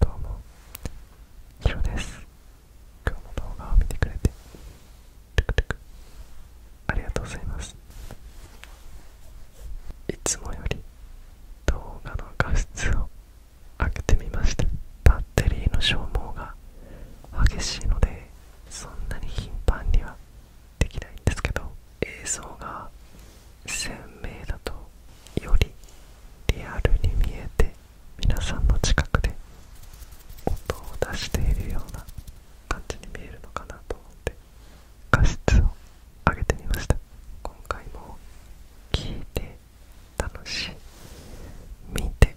どうも、ヒロです。今日も動画を見てくれて、トゥクトゥクありがとうございます。いつもより動画の画質を上げてみました。たっテリーの消耗が激しいのでそんなに頻繁にはできないんですけど映像が鮮明だとよりリアルに見えて皆さんの近くで音を出しているような感じに見えるのかなと思って画質を上げてみました今回も聞いて楽しい見て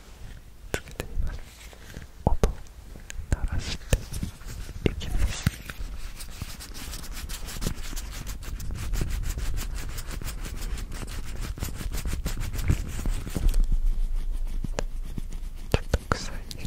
つけてみます音鳴らしていきますちょっと臭いちょっ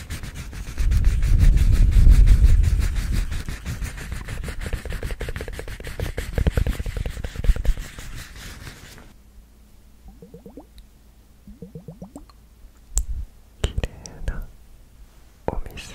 きれいなお水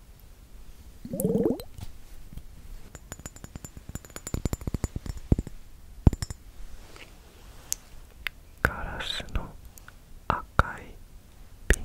ガラスの赤いピ瓶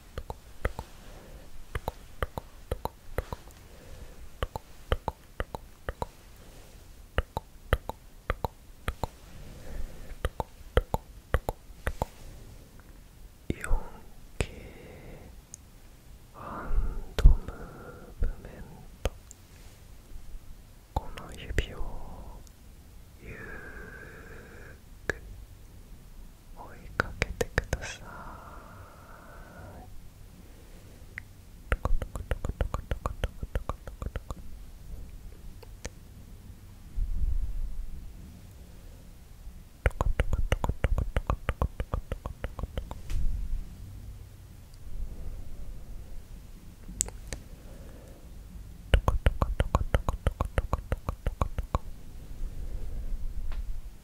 이렇게 한도 무브멘트 この指をゆーく追いかけてください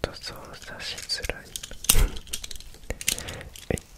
ちょっと操作しづらい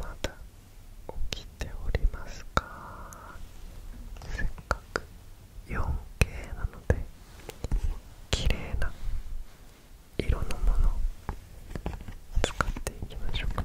まだ起きておりますかせっかく 4K なので綺麗な色のものを使っていきましょうか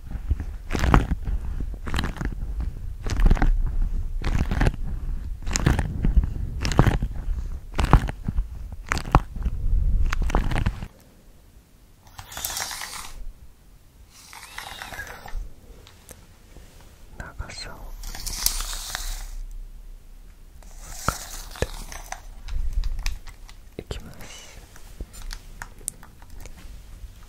長さを測っていきます。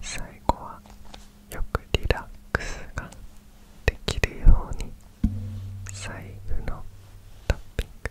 最後はよくリラックスができるように最後のトッピング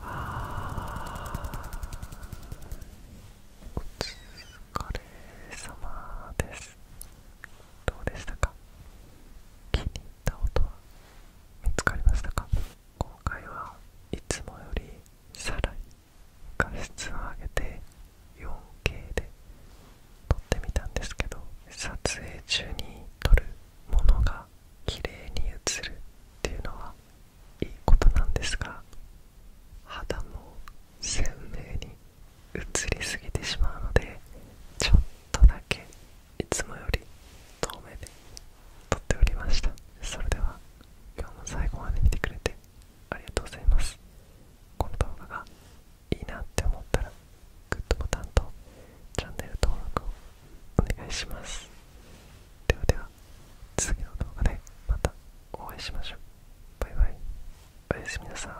あ。お疲れ様ですどうでしたか気に入った音は見つかりましたか今回はいつもよりさらに画質を上げて 4K で撮ってみたんですけど撮影中に撮るものが綺麗に映るっていうのはいいことなんですが肌も鮮明に映りすぎてしまうのでちょっとだけいつもより遠目で撮っておりましたそれでは今日も最後まで見てくれてありがとうございますこの動画がいいなって思ったらグッドボタンとチャンネル登録をお願いしますではでは次の動画でまたお会いしましょうバイバイおやすみなさい